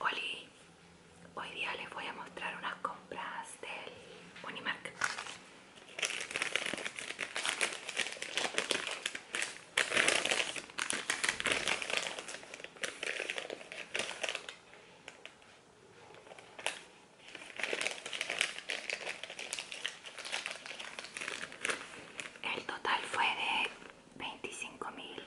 Oli, hoy día les voy a mostrar unas compras del Unimark. El total fue de 25 mil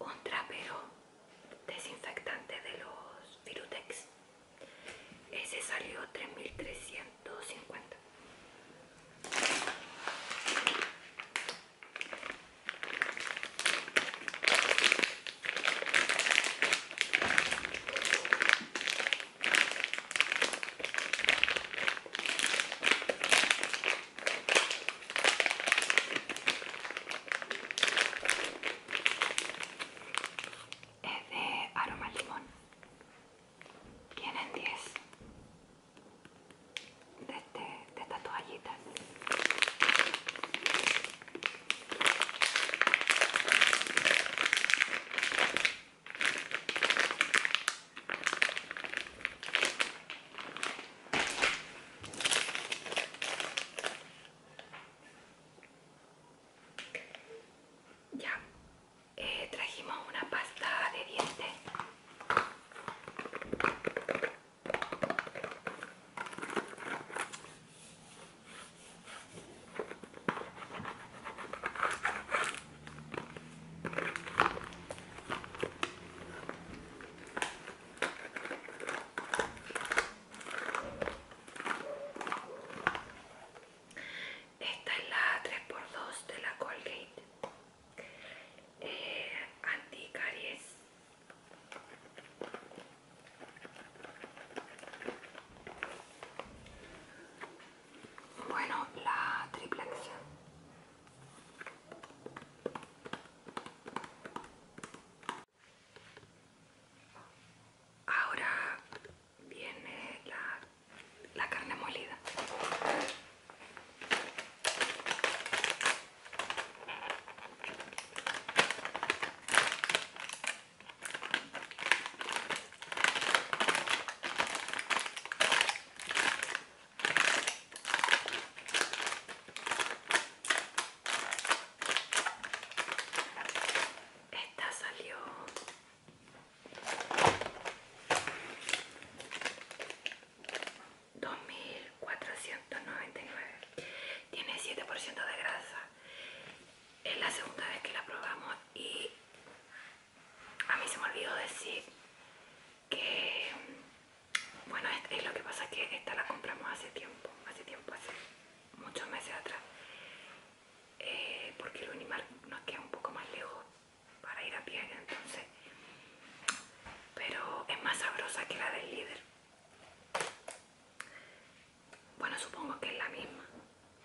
un trapero desinfectante de los Virutex. Ese salió 3350. Es de aroma limón. Tienen 10 este, de estas toallitas. Ya eh, trajimos una pasta de dientes. Esta es la 3x2 de la Colgate eh, Anticaries. Bueno, la triple Ahora viene la, la carne molida. Esta salió dos mil cuatrocientos noventa y nueve. Tiene 7% de grasa. Es la segunda vez que la probamos y a mí se me olvidó decir que bueno es, lo que pasa que esta la compramos hace tiempo hace tiempo hace muchos meses atrás eh, porque el animal nos queda un poco más lejos para ir a pie entonces pero es más sabrosa que la del líder bueno supongo que es la misma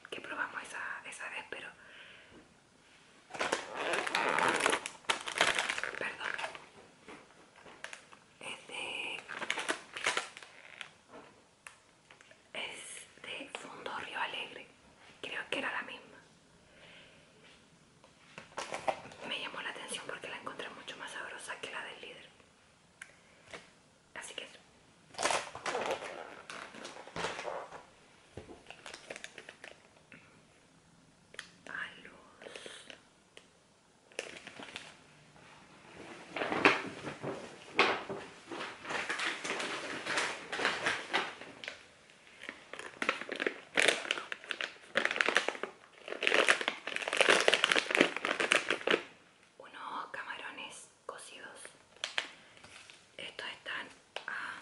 que probamos esa, esa vez pero perdón es de, es de Fundo Río Alegre, creo que era la misma. Me llamó la atención porque la encontré mucho más sabrosa que la del líder. Así que eso unos camarones cocidos estos están a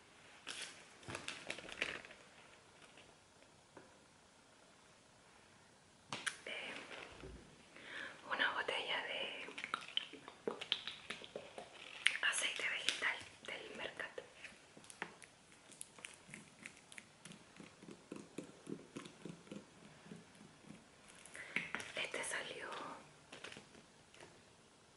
Eh, una botella de aceite vegetal del mercado. Este salió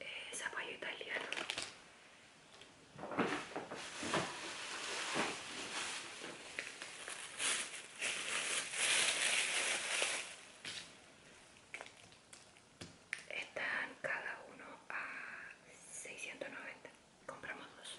Eh, zapallo italiano están cada uno a 690. Compramos dos.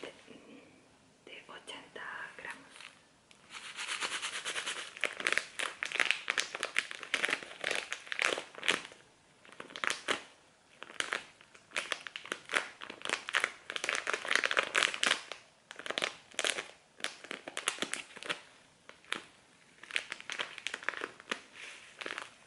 de, mm, de 80 gramos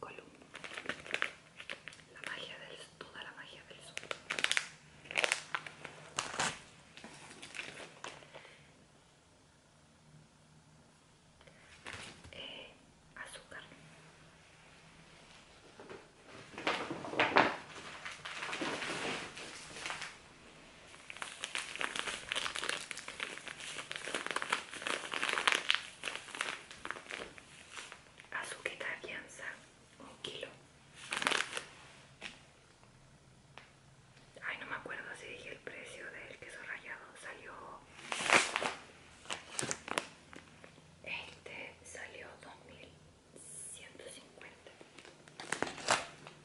Column. La magia del toda la magia del sol. Eh, azúcar. Azuqueta alianza, un kilo. Ay, no me acuerdo si dije el precio del queso rallado. Salió. Este salió 2150.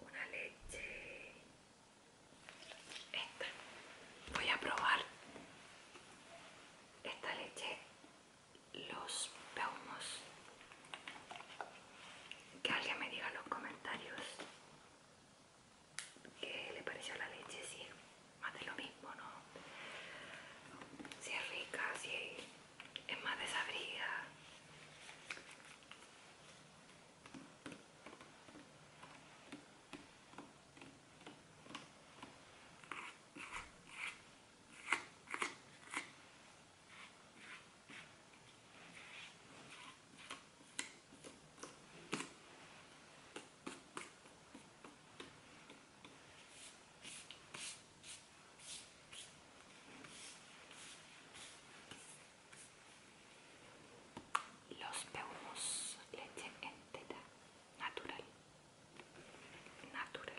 Una leche. Esta. Voy a probar esta leche. Los peumos. Que alguien me diga en los comentarios ¿Qué le pareció la leche? Sí, más de lo mismo, ¿no? Si es rica, si es más desabrida. Los peumos, leche entera, natural, natural.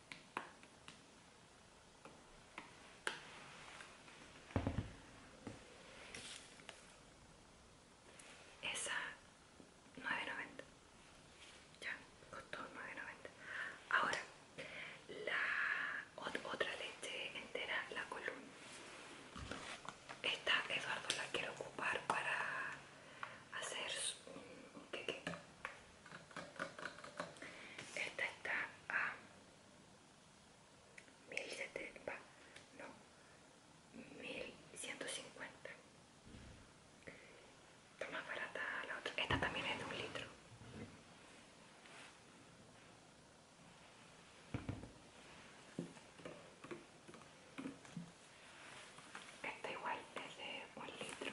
Esa 9.90. Ya, costó 9.90. Ahora, la otra leche entera, la columna. Esta Eduardo la quiero ocupar para hacer un, un queque. Esta está a setenta no, 1150. toma más barata la otra. Esta también es de un litro. Esta igual es de un litro.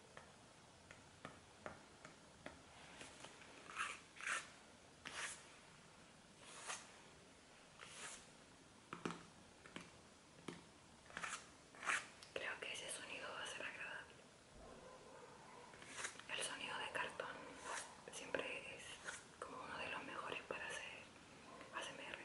Creo que ese sonido va a ser agradable. El sonido de cartón siempre es como uno de los mejores para hacer ASMR.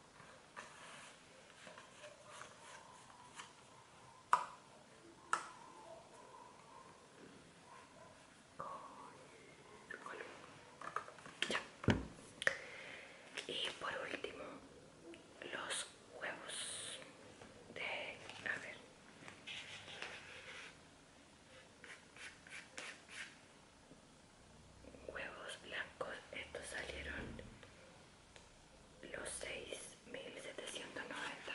Y por último, los huevos de... a ver. Huevos blancos, estos salieron los seis mil setecientos noventa.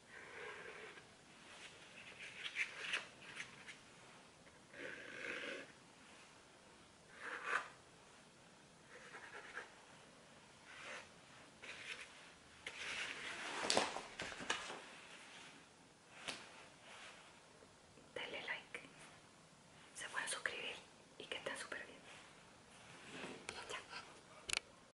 Dale like, se puede suscribir y que estén súper bien.